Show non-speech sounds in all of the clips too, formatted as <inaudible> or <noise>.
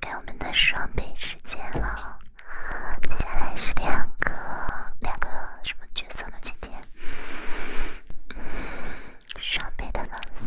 给我们的双倍时间了，接下来是两个两个什么角色呢？今天双倍的蓝色。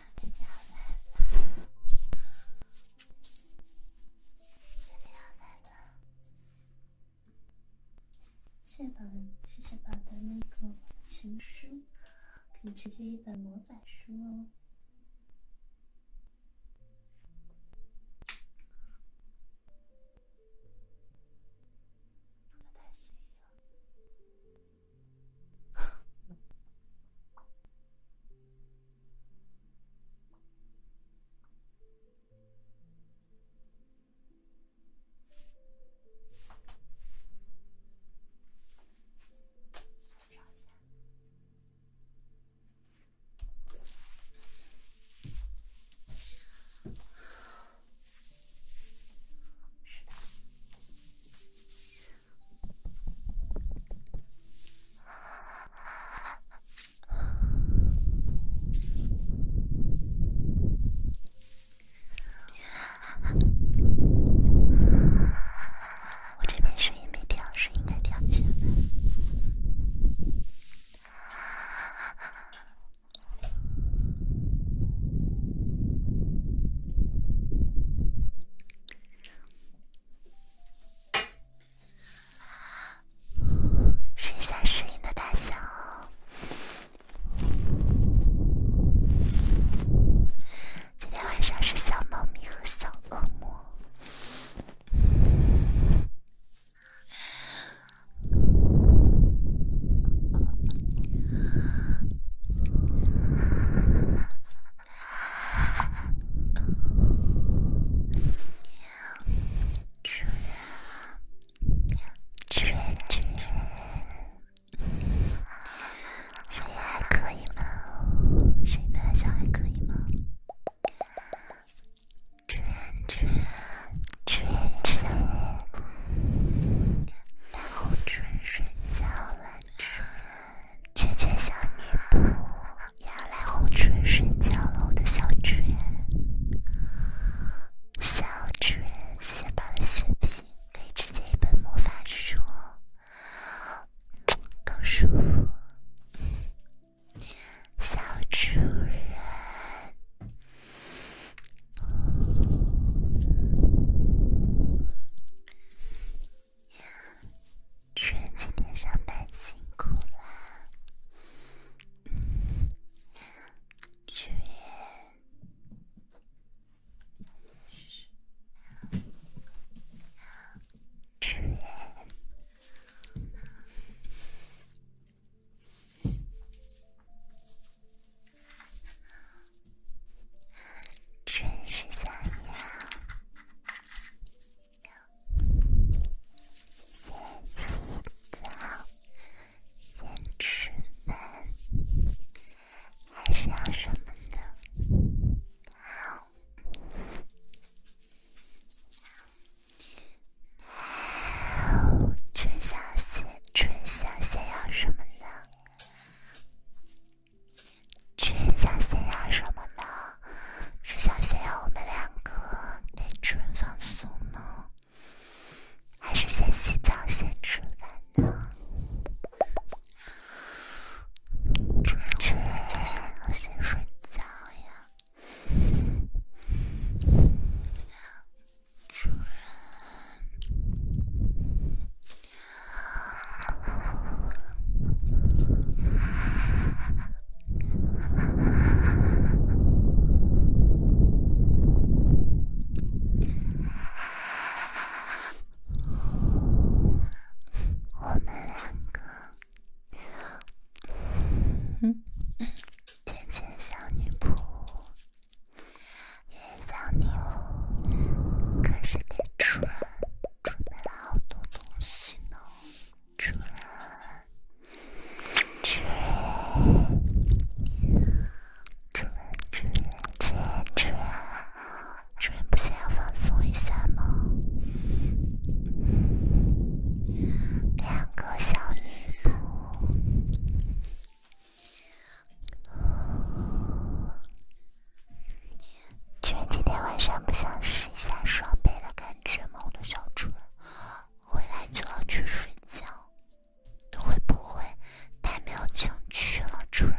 谢谢宝，谢谢宝的那个情书，可以直接一本魔法书哦。是的。我这边声音没调，声音该调一下。试一下声音的大小哦。今天晚上是小猫咪和小恶魔。主人，主人，声音还可以吗？哦，声音大小还可以吗？主人，主人，然后转身笑了。娟娟小女仆要来哄主人睡觉了，我的小主人，小主人，谢谢宝的血瓶，可以直接一本魔法书，更舒服，小主人。春今天上班辛苦啦，春，春。真是想要先洗澡，先吃饭，还是要什么呢？春小四，春小想要什么呢？主人想先要什么呢？是想先要我们两个给主人放松呢，还是先洗澡先吃饭呢？主人就想要先睡觉呀，主人。我们两个，嗯，甜甜小女仆，小女仆，可是被吃了。准备了好多东西呢，主人，主人、主人、主人、主人主主主主人、人、人、人、不想要放松一下吗？两个小女仆。居然今天晚上不想试一下双倍的感觉吗？我的小主人，回来就要去睡觉，会不会太没有情趣了，主人？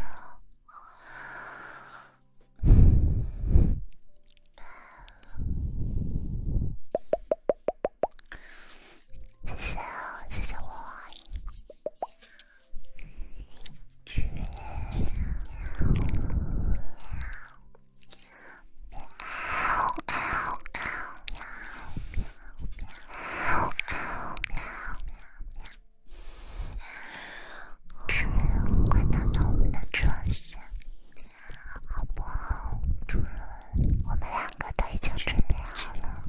谢谢，谢谢我。主人，快到我们的床上，好不好？主人，我们两个都已经准备好了。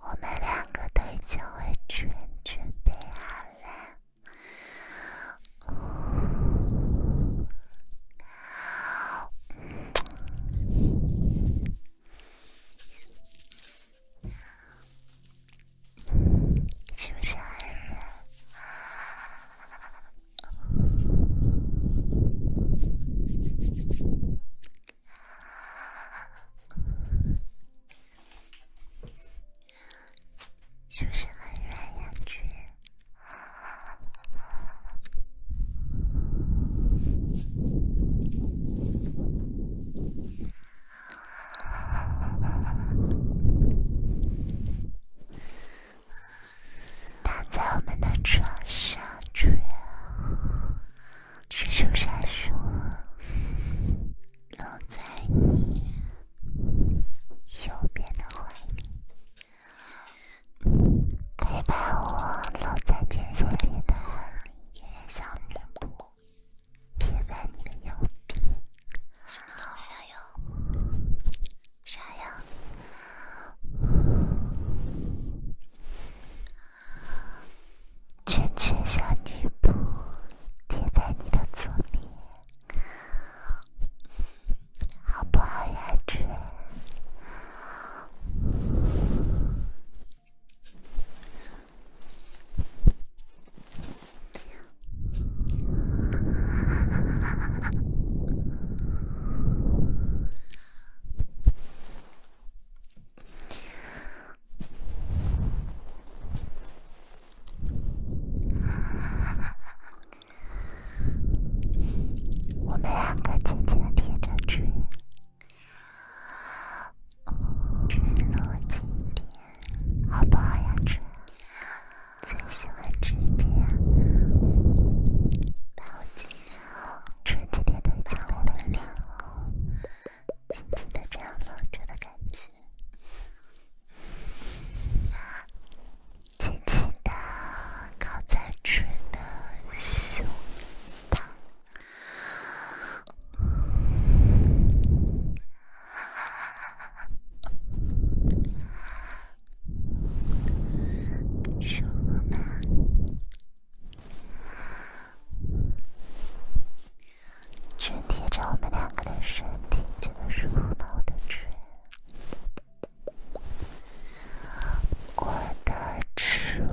我们两个都已经完全准备好了，是不是？是不是很软呀，去。躺在我们的床上，主人，赤手杀鼠，搂在你右边的怀里，陪伴我搂在卷索里的，面向脸部，贴在你的右边，好香哟。啥呀？甜甜小女仆贴在你的左边，好不好，圆圆？我们两个紧紧地贴着，春，春，离我近一点，好不好呀，春？最喜欢这春天，抱紧后，春天的温暖脸庞，紧紧的这样抱着的感觉，紧紧的靠在主人的胸膛。手环紧贴着我们两个的身体，这个是我的主人，我的主人。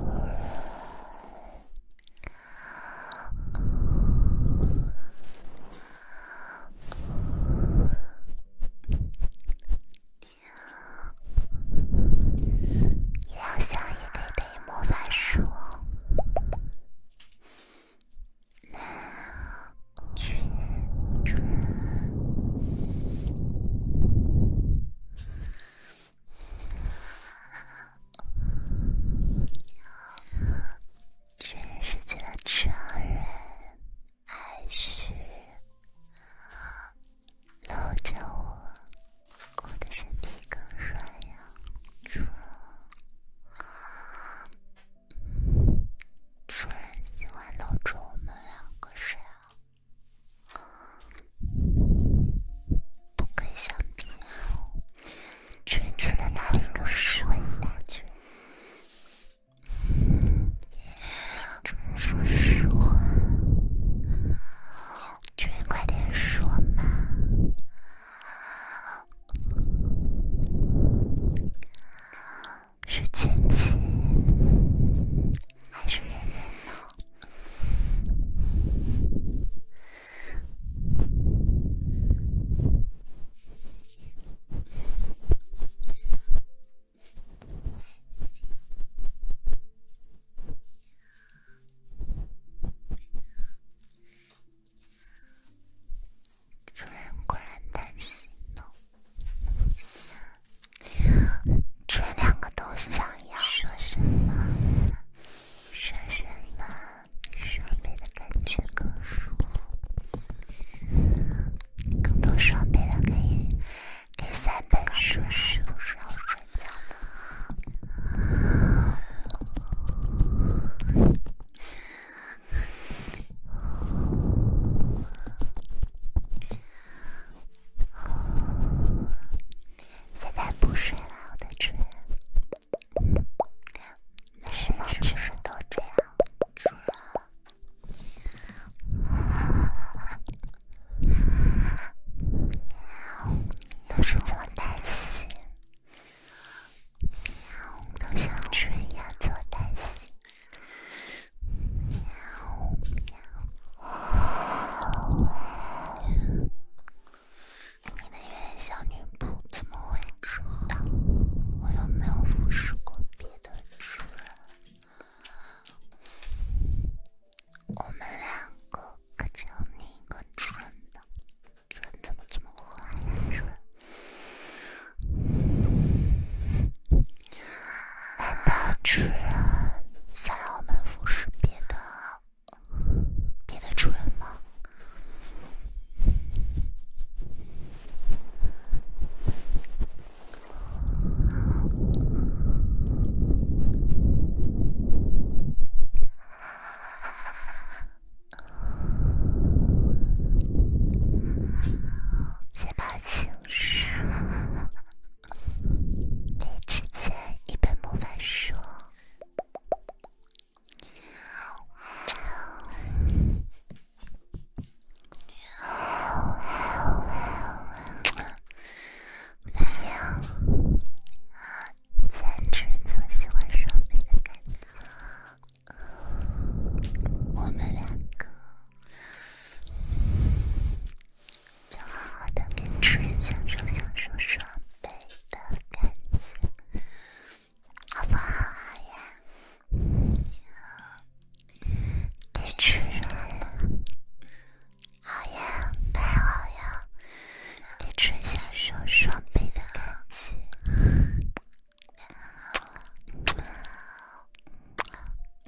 你要想一想，莫凡说：“那君君，真是个超人。”还是搂着我，我的身体更软呀。主人，主人喜欢搂着我们两个睡啊。不可以相比，主人觉得哪里更舒服？就说实话，就快点说嘛，是亲戚还是恋人呢？主人果然担心，弄，全两个都想要。说什么？说什么？手里的感觉更舒服。更多双倍的可以给三本书是要睡觉了，现在不睡了，我的主人，那是猫，只都这样。主人一样做单行。你的元怎么会知道？我又没有服侍过别人。的主人，我们两个可就你一个主人了。主人怎么这么坏？主人，难道主人想让我们服侍别的别的主人吗？先把情书，你之前一本魔法书。没有，简直就喜欢双倍的感觉。我们两个就好好的跟主人享受享受双倍的感情，好不好呀？别吃人！好呀，当然好呀，别吃下手双倍的高级。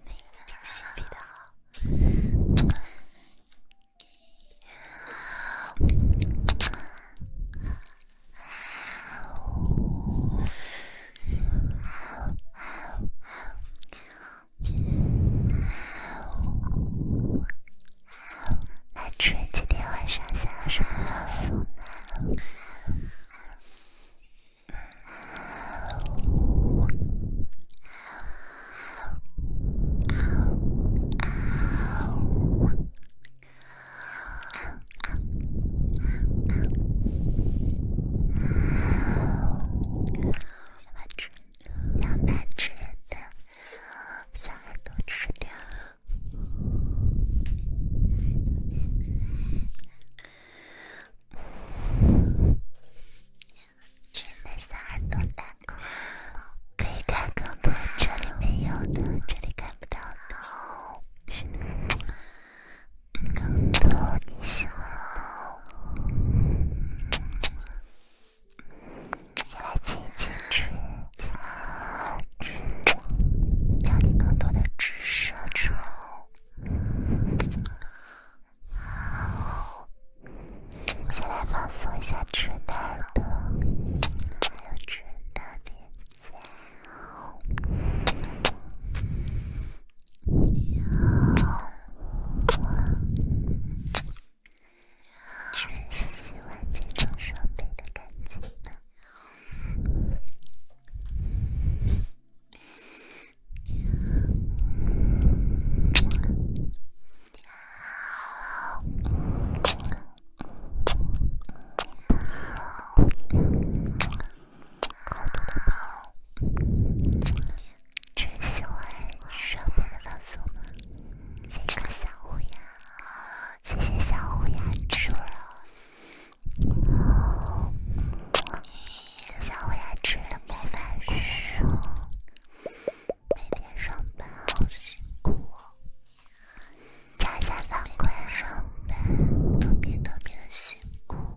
那个真心比的好。男主人今天晚上想什么送呢？要吃，要吃的，把耳朵吃掉。吃那三朵蛋糕，可以看更多这里没有的，这里看不到的。是的。更多你喜欢的。先来亲亲一唇，教你更多的知识唇，好，先来放松一下吃太多，还有吃那边。我也是喜欢这种双好棒！只喜欢上班的老师们。谢个小虎牙，谢谢小虎牙吃了小虎牙吃了魔猪肉，每天上班好辛苦，加下班快上班，特别特别的辛苦。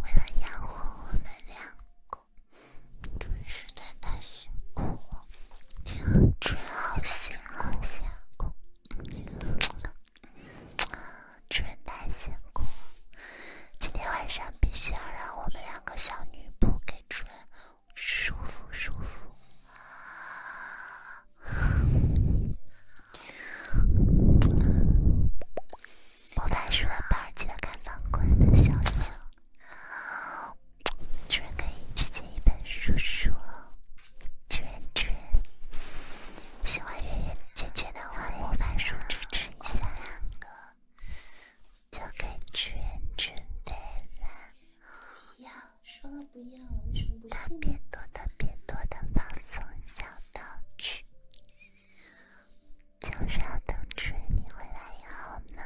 为了养活我们两个，真的是太辛苦了，天好心好辛苦。主人待闲空，今天晚上必须要让我们两个小女仆给主人舒服舒服。魔法书和宝记得看房管的消息。主人可以直接一本书书说，主人主人，喜欢圆圆圈圈的话，魔法书支持一下两个。就给主人准备了，要说了不要，为什么不信？特别多特别多的放松小道具，就是要等主人你回来以后呢，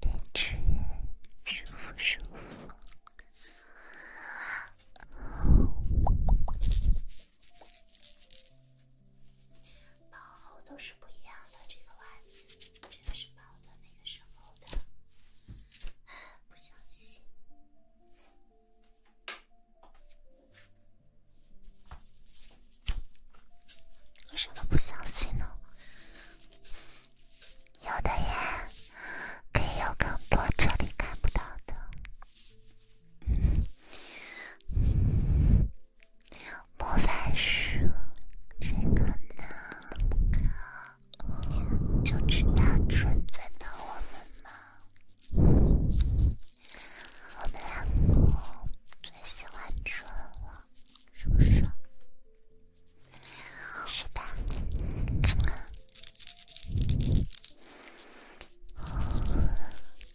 给主人舒服舒服。薄厚都是不一样的，这个袜子这个是薄的，那个是厚的。不相信？为什么不相信呢？有的呀，可以有更多这里看不到的。莫凡说：“这个呢，就知道纯粹的我们吗？我们两个最喜欢纯了，是不是？是的。”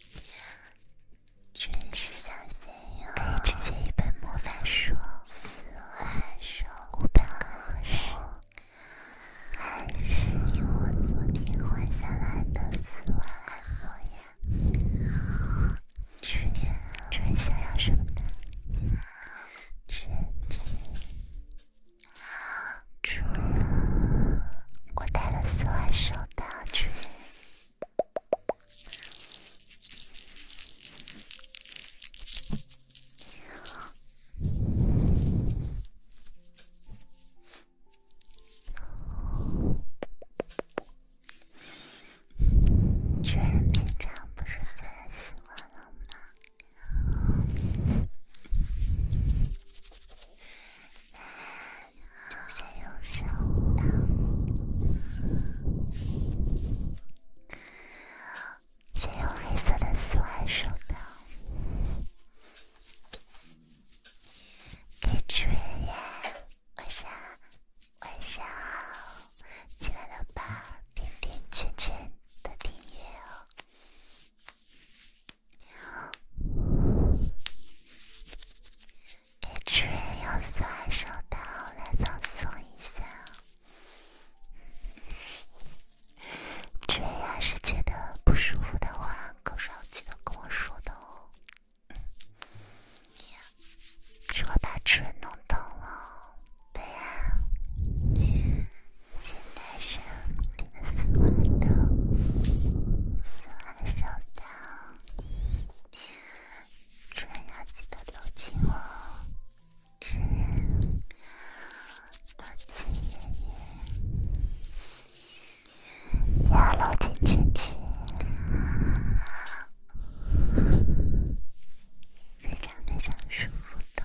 可以直接一本魔法书、四万手、五本钢和书，还是用我昨天换下来的四万想要什么呢？主人。去，我带了四万手套去。巨人平常不是很喜欢冷吗？就先用手灯，先用黑色的丝袜手灯。给主人，晚上晚上好，进来了吧？点点圈圈的订阅哦。娘，给主人用搓手刀来放松一下。主人要是觉得不舒服的话，可是要记得跟我说的哦。娘，是我把主人弄疼了。对呀，现在想用搓手刀。收到，主人要记得搂紧我，主人，搂紧，要搂紧，紧紧，非常非常舒服的。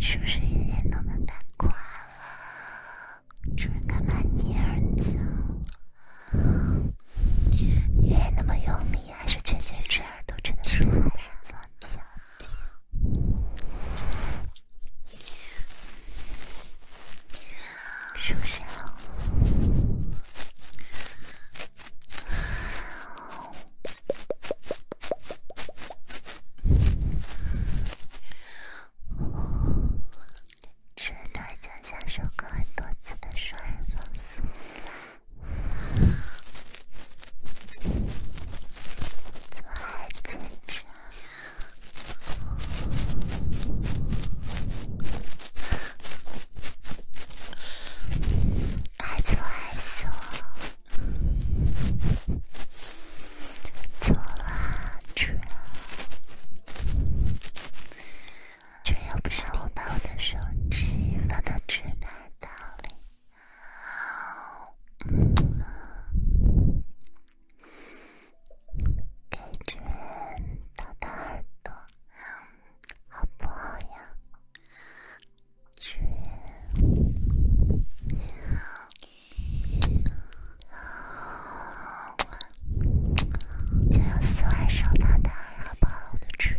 是不是一点都不带挂了？居然敢骂娘子！越那么用力，还是觉得吹耳朵真的舒服。舒适哦，是大家享受过很多次的双人放松。做爱去了，害羞害羞，做爱去了。这人又不是我把我的手机放到纸袋子里，嗯，感觉掏掏耳朵，好不好呀？主人，就有丝袜手套掏，好不好，我的主人？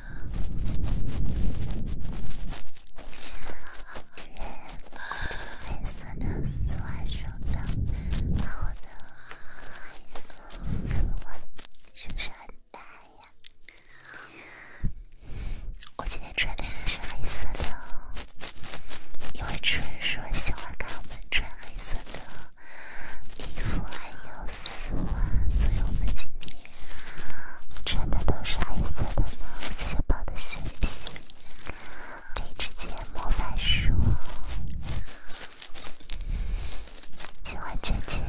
女人，黑色的我今天穿的是黑色的，因为主人说喜欢看我们穿黑色的衣服，还有。喜欢，所以我们今天穿的都是黑色的嘛。谢谢宝的血皮，给直接魔法书。喜欢圈圈，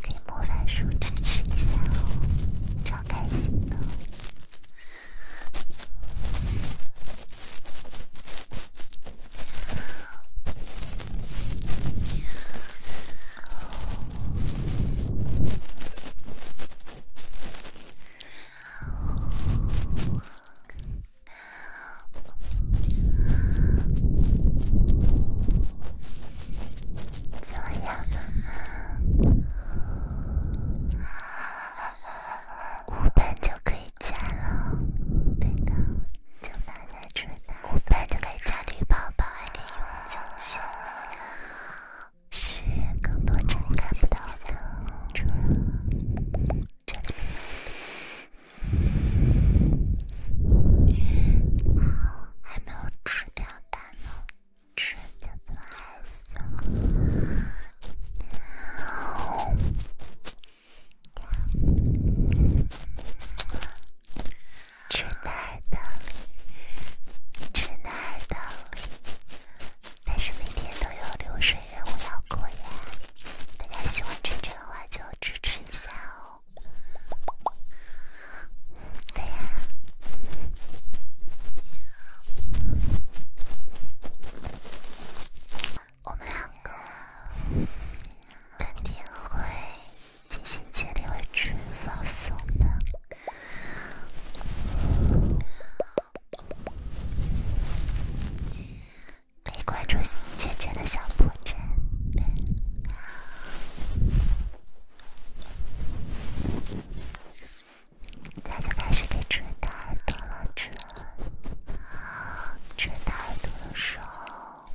给魔法书支持一下哦，超开心的。怎么样呢？五就可以加了，对的，就那拿。古板的美甲绿泡泡还得用胶圈，是更多人看不到的。好，还没有吃掉，大猫吃的不开心。去哪儿的，去那儿的，但是每天都有流水任务要过呀。大家喜欢晨晨的话，就支持一下哦。对呀，我们两个肯定会。进行竭力维持放松的，可以关注“圈圈”的小破绽。对，在就开始给主人大耳朵了，主人大耳朵的时候。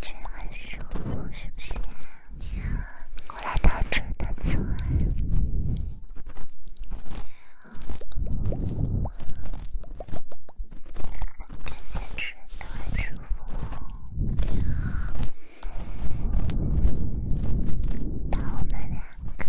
真很舒服，是不是？过来躺着，真舒服。感觉真特别舒服，我们两个。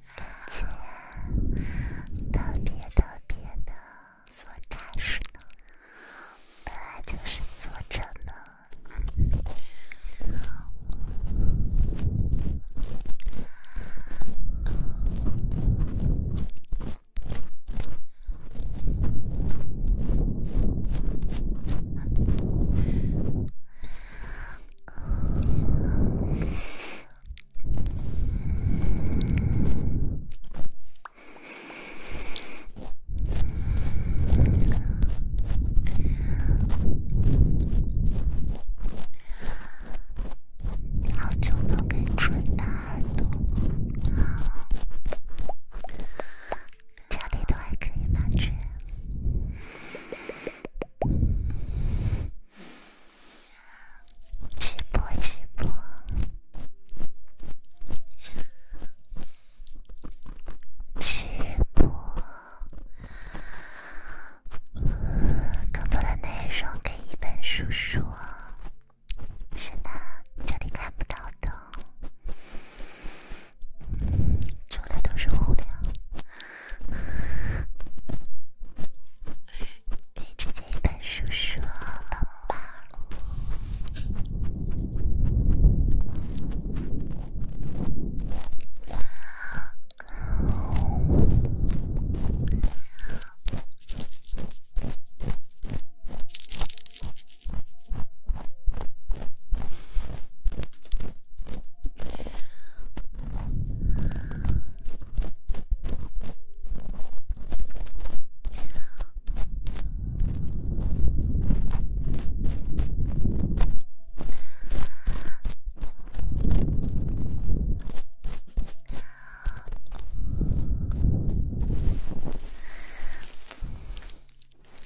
特别特别的做展示呢，本来就是做这个。<laughs> 好久不给吹大耳朵，家里都还可以吗？这。直播，直播，直播，更多的内容给一本叔叔，是的，这里看不到的，做的都是糊的。给自己一本书，说，好吧。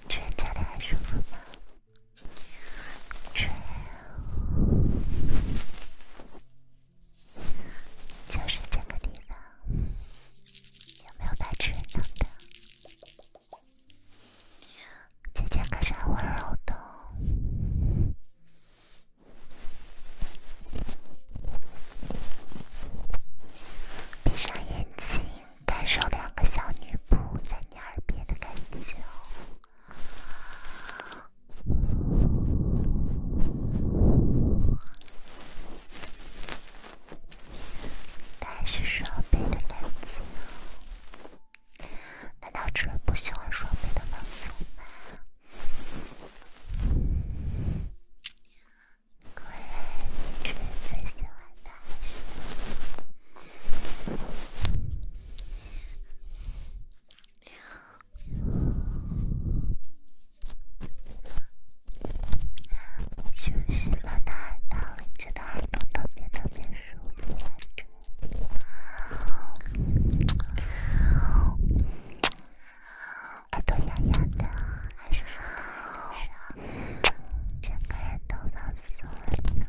全家来舒服吗？吹，就是这个地方，有没有白痴弄的？姐姐可是很温柔的哦。闭上眼睛，感受两个小女仆在你耳边的感觉哦。但是双倍的等级，难道主人不喜欢双倍的放松吗？休息了，耳朵会觉得耳朵特别特别舒服，耳朵痒痒的，还是好，整个人都放松了。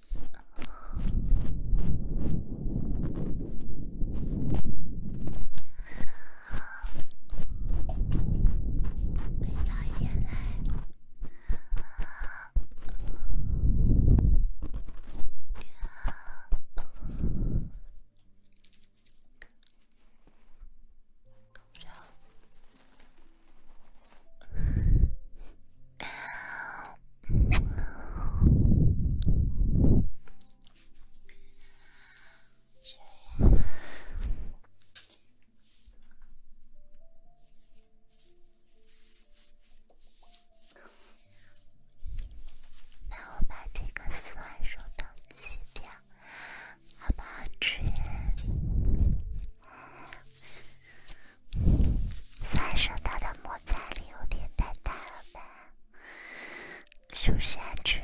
可以早一点来。那我把这个风扇收掉，去掉，好不好，春？发射它的摩擦力有点太大了吧？是不是安全？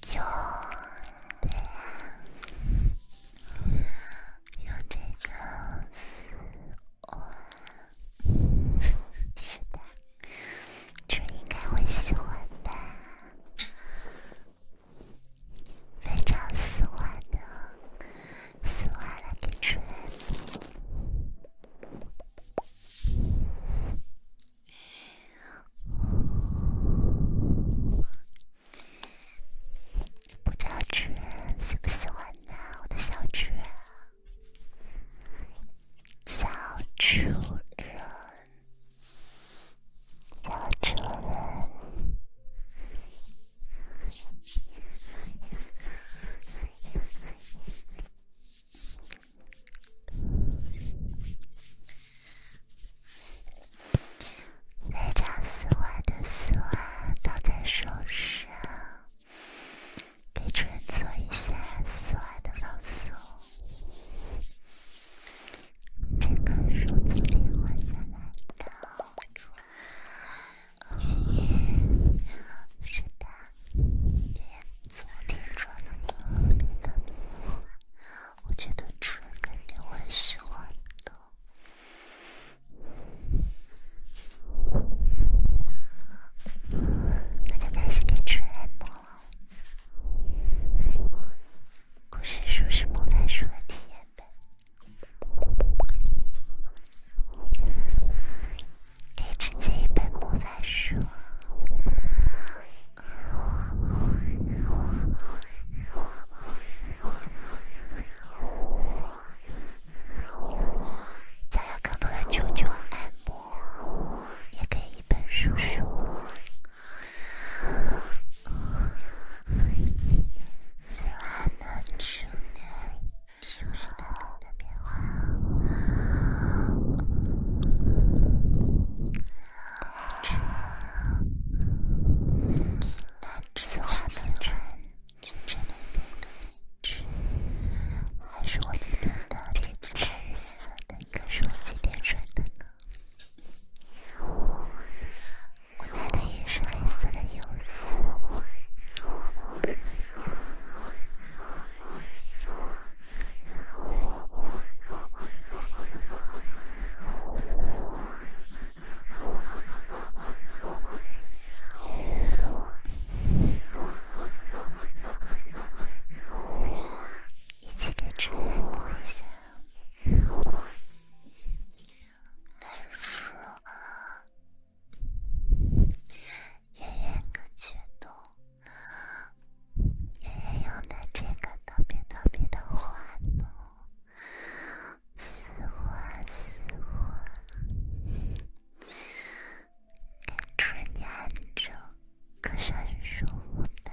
就对啊。有点僵尸哦，觉得主人应该会喜欢吧，非常喜欢的，喜欢的主人。不叫主人，喜不喜欢呢？我的小主人，小主人，小主人。非常丝滑的丝袜套在手上，给主人做一下丝袜的放松。这个是我昨天换下来的，主人。是的，昨天穿的你的，我觉得主人肯定会喜欢的。刚刚开始给折磨。故事书是魔法书的体验版，给自己想要更多的球球按摩，也给一本书书。喜欢的球的，球不同的变化。紫色的穿，还是我今天穿的？紫色的，一个手机天穿的呢？我买的也是黑色的泳衣。一起来吹一下。再说啊，圆圆哥觉得，圆圆用的这个特别特别的欢乐。死活死活，感觉严重，可伸手不到。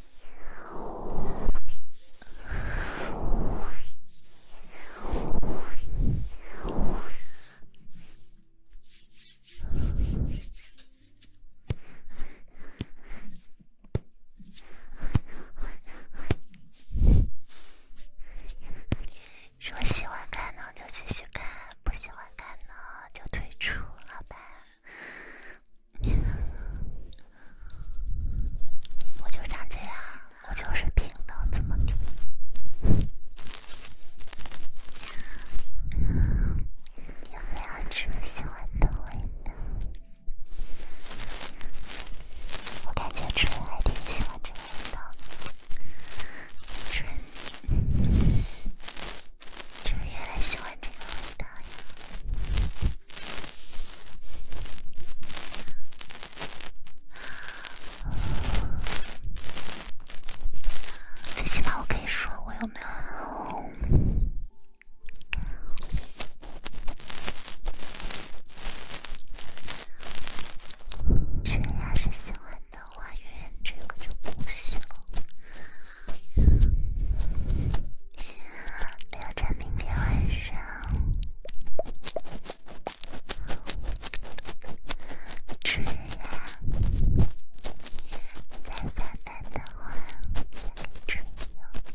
说喜欢看呢就继续看，不喜欢看呢就退出，好吧。<laughs> 我就想这样，我就是平等。怎么地？有没有吃你喜欢的味道？我感觉吃人还挺喜欢这个味道，吃人吃人越来喜欢这个味道呀。最起码我可以说我有没有。谁要是喜欢的话，永远这个就不行。留着明天晚上吃呀，再下单的话再吹哟。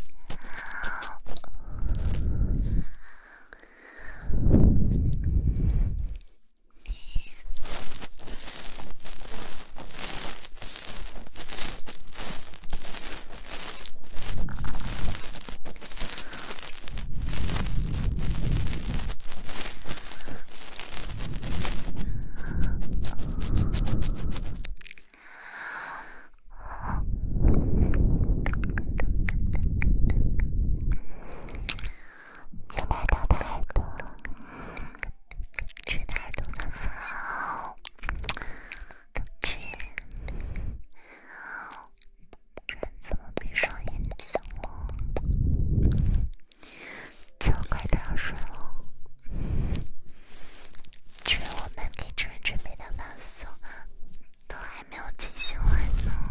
有哪都哪都，去哪儿都能跑。春，人怎么闭上眼睛了？要快点睡了。春，我们给春准备的晚宿都还没有进行完呢。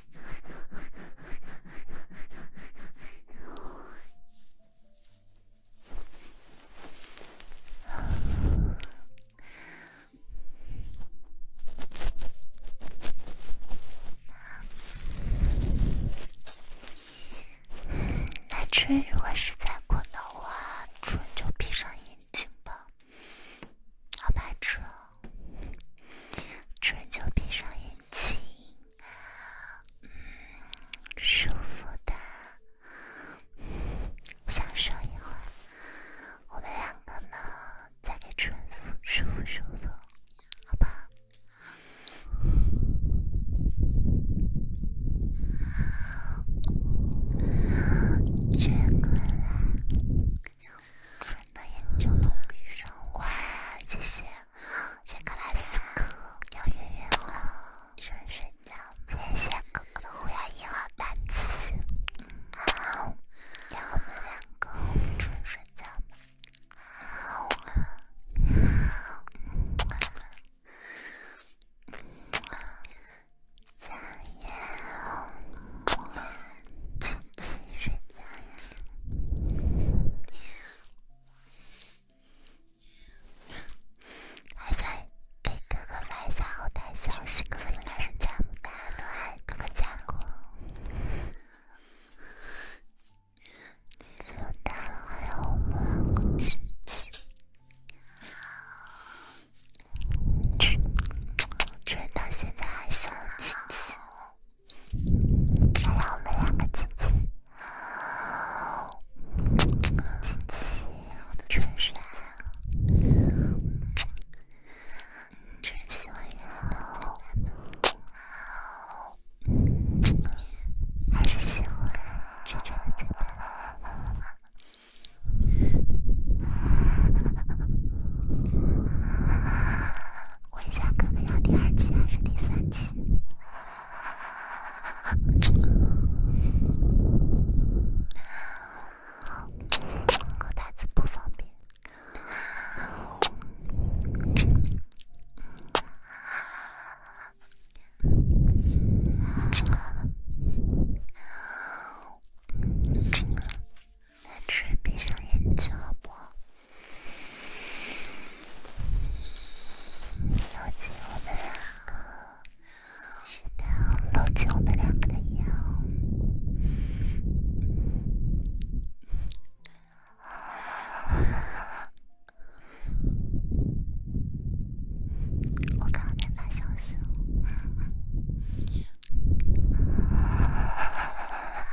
南春，如果实在困的话，春就闭上眼睛吧。好吧，春，春就闭上眼。亲，舒服的，想受一会儿。我们两个呢，再给舒服舒服舒服，好吧？结婚了，感谢我就送一双。哇，谢谢。好，先跟来睡觉。谢谢哥哥的胡杨一号单词。好，我们两个睡觉吧。好，好，自己人家呀，还在给哥哥一下好大箱十个三枪弹，还哥哥加我，打弹还有武器，居然到现在还笑亲亲。还有我们两个亲亲，亲亲，全世界，只喜欢的宝，还是喜欢拒绝的嘴巴？问一下哥哥要第二期还是第三期？我台词不方便。来，闭上眼睛，好不？搂紧我们两个，是搂紧我们两个的腰。我刚才发消息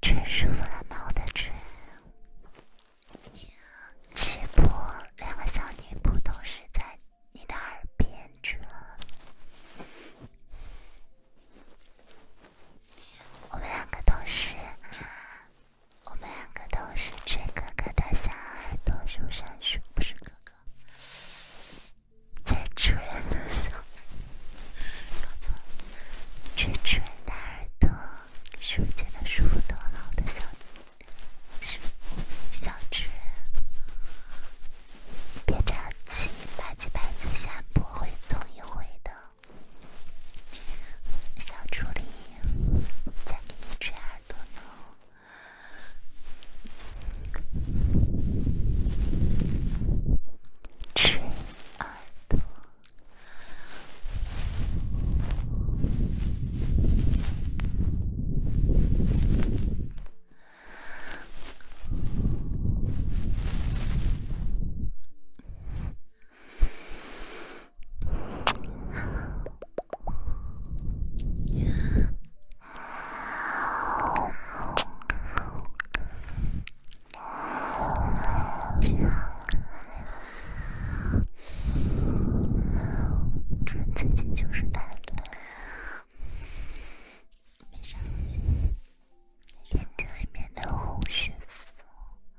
真舒服啊，猫的唇。直播，两个小女仆都是在你的耳边转，我们两个都是。我们两个都是吹哥哥的小耳朵，是不是？不是哥哥，吹主人的耳。搞错了，吹主人大耳朵，是我觉得舒服多了？我的小，是小主别着急，拿起牌子下播，会动一回的，小助理。再给你吹耳朵呢，吹耳朵。我们最近就是太懒，没事，眼睛里面的红血丝。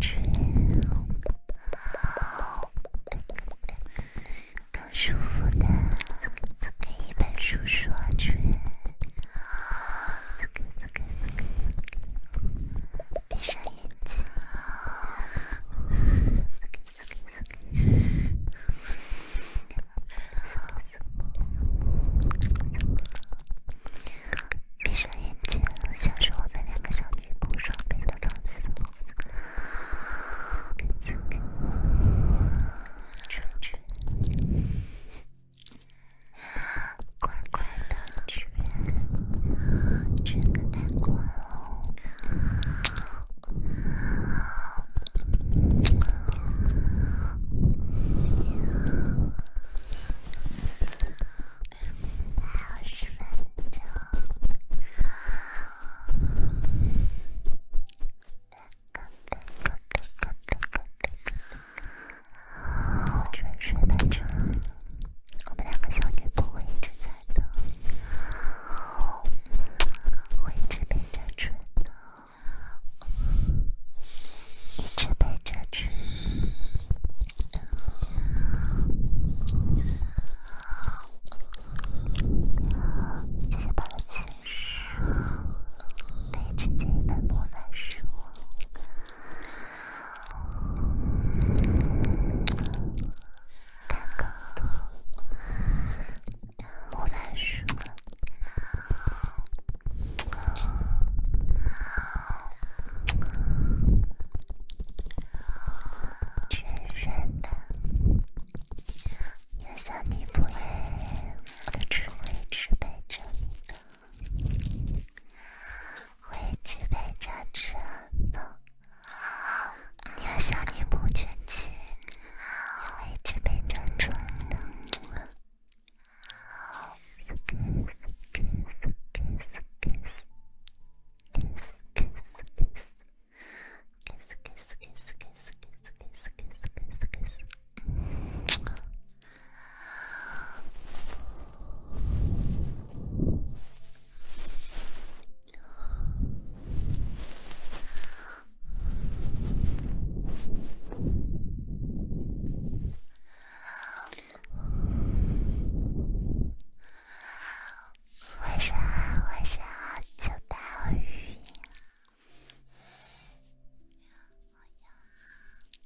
吹，更舒服的，给一本书刷唇。闭上眼睛，闭上眼睛，像是我们两个小女仆，双倍的浪漫。快快的吃，吃个蛋糕。哦，春水伴春，我们两个小女仆会一直在的，会一直陪着春的，一直陪着春。谢谢爸爸的提示，可以直接一本魔法书。看个魔法书，确认吧，就算你不会，我，的智慧只陪着你。会准备珍珠的，你要向你母亲，会准备珍珠的。晚上，晚上好，久等我语音了。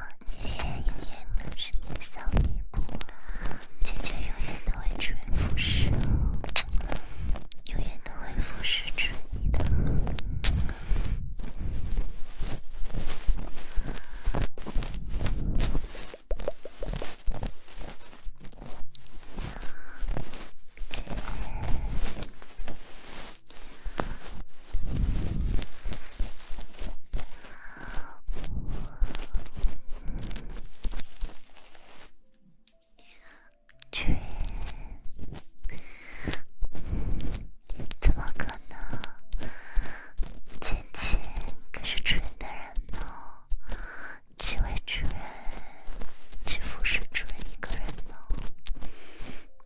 我永远都是你的小女仆，娟娟永远都会忠贞不渝，永远都会服侍着你的。主人，怎么可能？晴晴可是主人的人呢，几位主人，岂不是主人一个人呢？有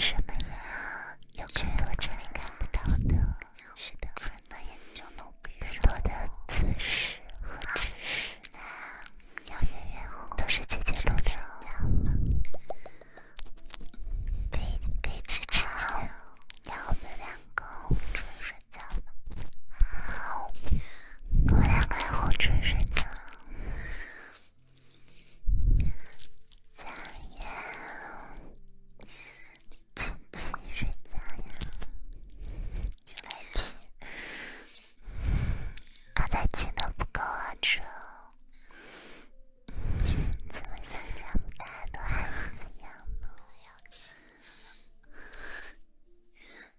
什么呀？有更多这里看不到的，是的，很多眼睛，更多的姿势和知识。都是姐姐录的，可以可以支持姐让我们两个是。睡觉吧，我们两个红唇睡觉，加油，亲亲睡觉呀，亲亲。刚才亲的不够啊，亲哦。怎么现在大家都还这样呢？我要亲了。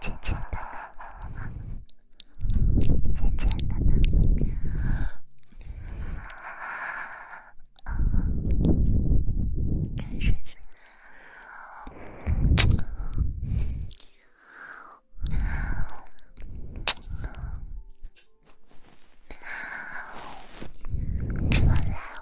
渐渐的，渐渐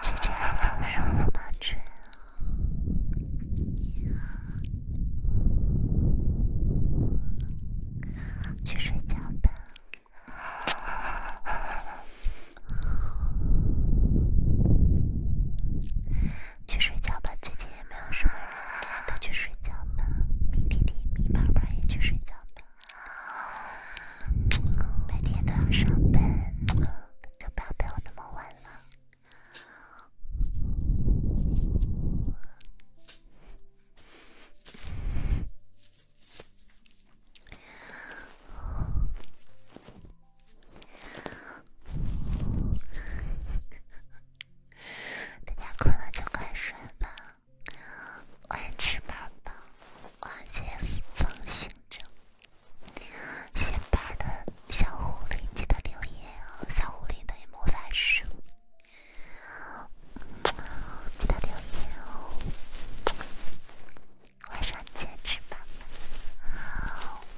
姐姐，你有什么感觉啊？去睡觉吧。去睡觉吧，最近也没有什么人，都去睡觉吧。明天听米胖胖也去睡觉吧。白天都要上班，就不要陪我那么晚了。<laughs> 大家困了就快睡吧，晚安值班宝，晚安解方星者。值的小狐狸记得留言哦，小狐狸等于魔法书，记得留言哦。晚上见，值班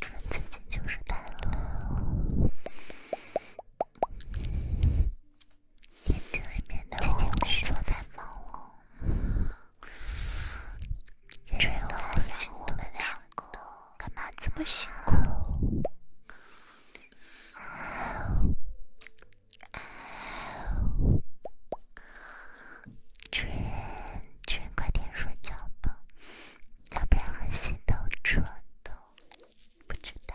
最近就是太冷，最近工作太忙了，然后我们两个干嘛这么辛苦？主人，主人，快点睡觉吧。要不然，我心都蠢的不知道。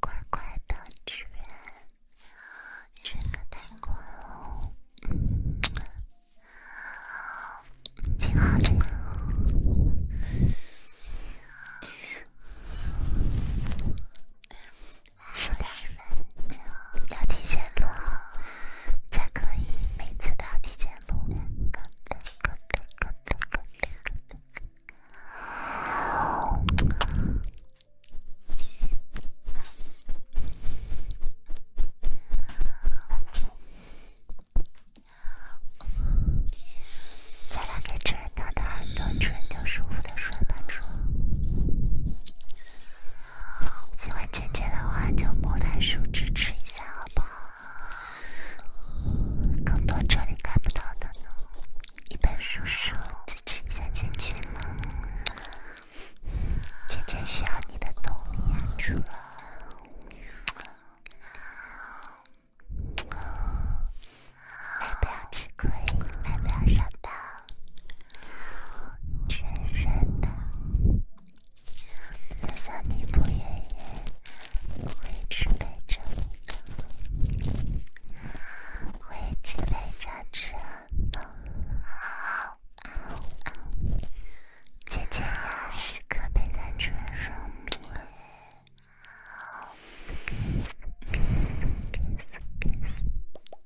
乖乖的吃，吃个蛋糕哦，挺好的。十五分钟要提前录才可以，每次都要提前录。挠着耳朵，圈圈舒服的睡了着。喜欢圈圈的话，就摸它、数支持一下，好不好？更多这里看不到的呢，一本书书支持一下圈圈嘛，圈圈需要你的动力，主人。买不要吃亏，买不要上当。军人的，就算你不愿意，我会去陪着你，我会去陪着你。好，姐姐要时刻陪在军人身边。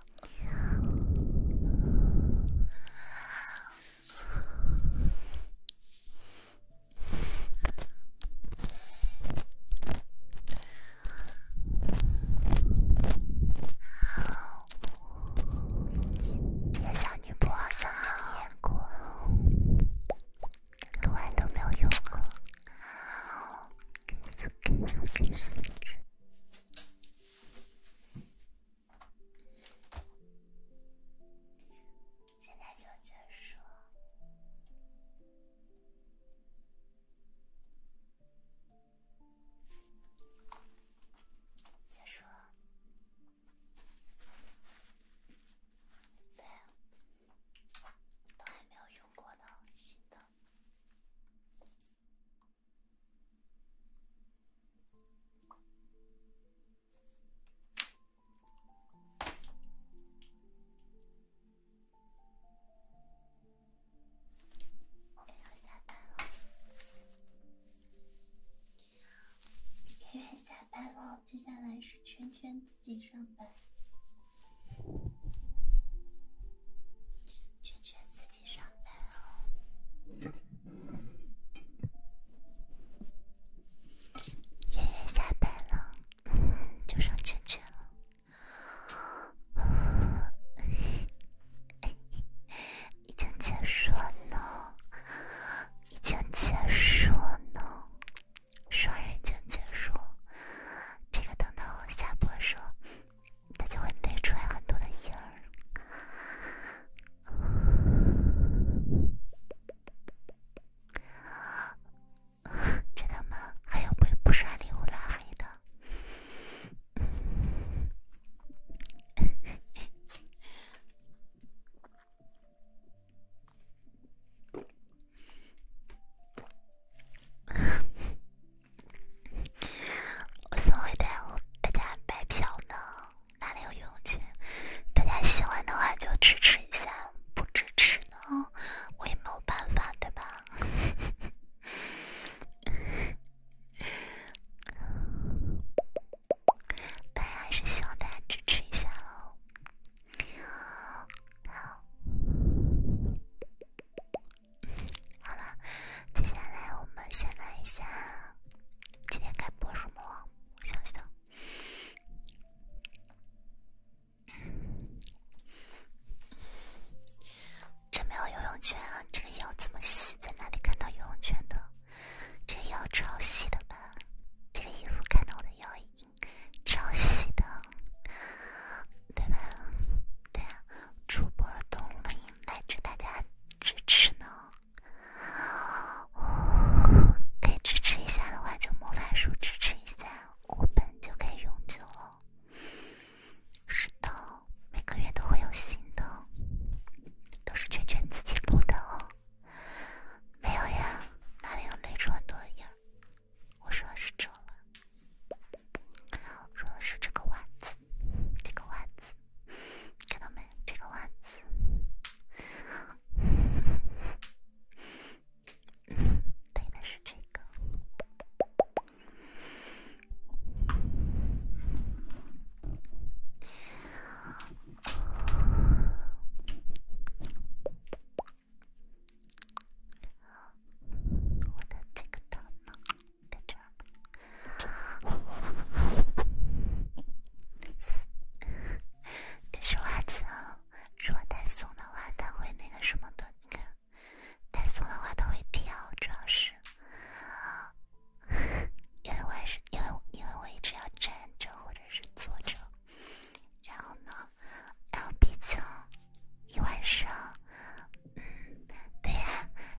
这些小女仆好像好眼熟，我还都没有用过。现在就结束，了，结束。了。对，都还没有用过的新的。圆圆下班了，接下来是圈圈自己上班。圈圈自己。上班哦，圆圆下班了，就剩圈圈了，已经结束了，已经结束了，双人已经结束，这个等等我下播说。它就会堆出来很多的印儿，知 <laughs> 道吗？还有不不刷礼物拉黑的。<laughs> 我总会带大家白嫖呢，哪里有用处？大家喜欢的话就支持一下，不支持呢，我也没有办法，对吧？当然还是希望大家支持一下喽。好。好了，接下来我们先来一下今天该播什么？我想想，这没有游泳圈啊！这个腰怎么细？在哪里看到游泳圈的？这个腰超细的吧？这个衣服看到我的腰已经超细的，对吧？对啊。主播动力来着大家支持呢，可以支持一下的话，就魔法书支持一下，我本就可以永久了。是的，每个月都会有新的，都是圈圈自己录的哦。没有呀，哪里有那种多呀？我说的是这，说的是这个袜子，这个袜子。看到没？这个袜子，<laughs> 对的是这个。我的这个灯笼。在这儿呢。但是袜子，如果太松的话，它会那个什么的。你看，太松的话，它会跳，主要是。因为我是因为因为我一直要站着或者是坐着，然后呢，然后毕竟，一晚上，嗯，对呀。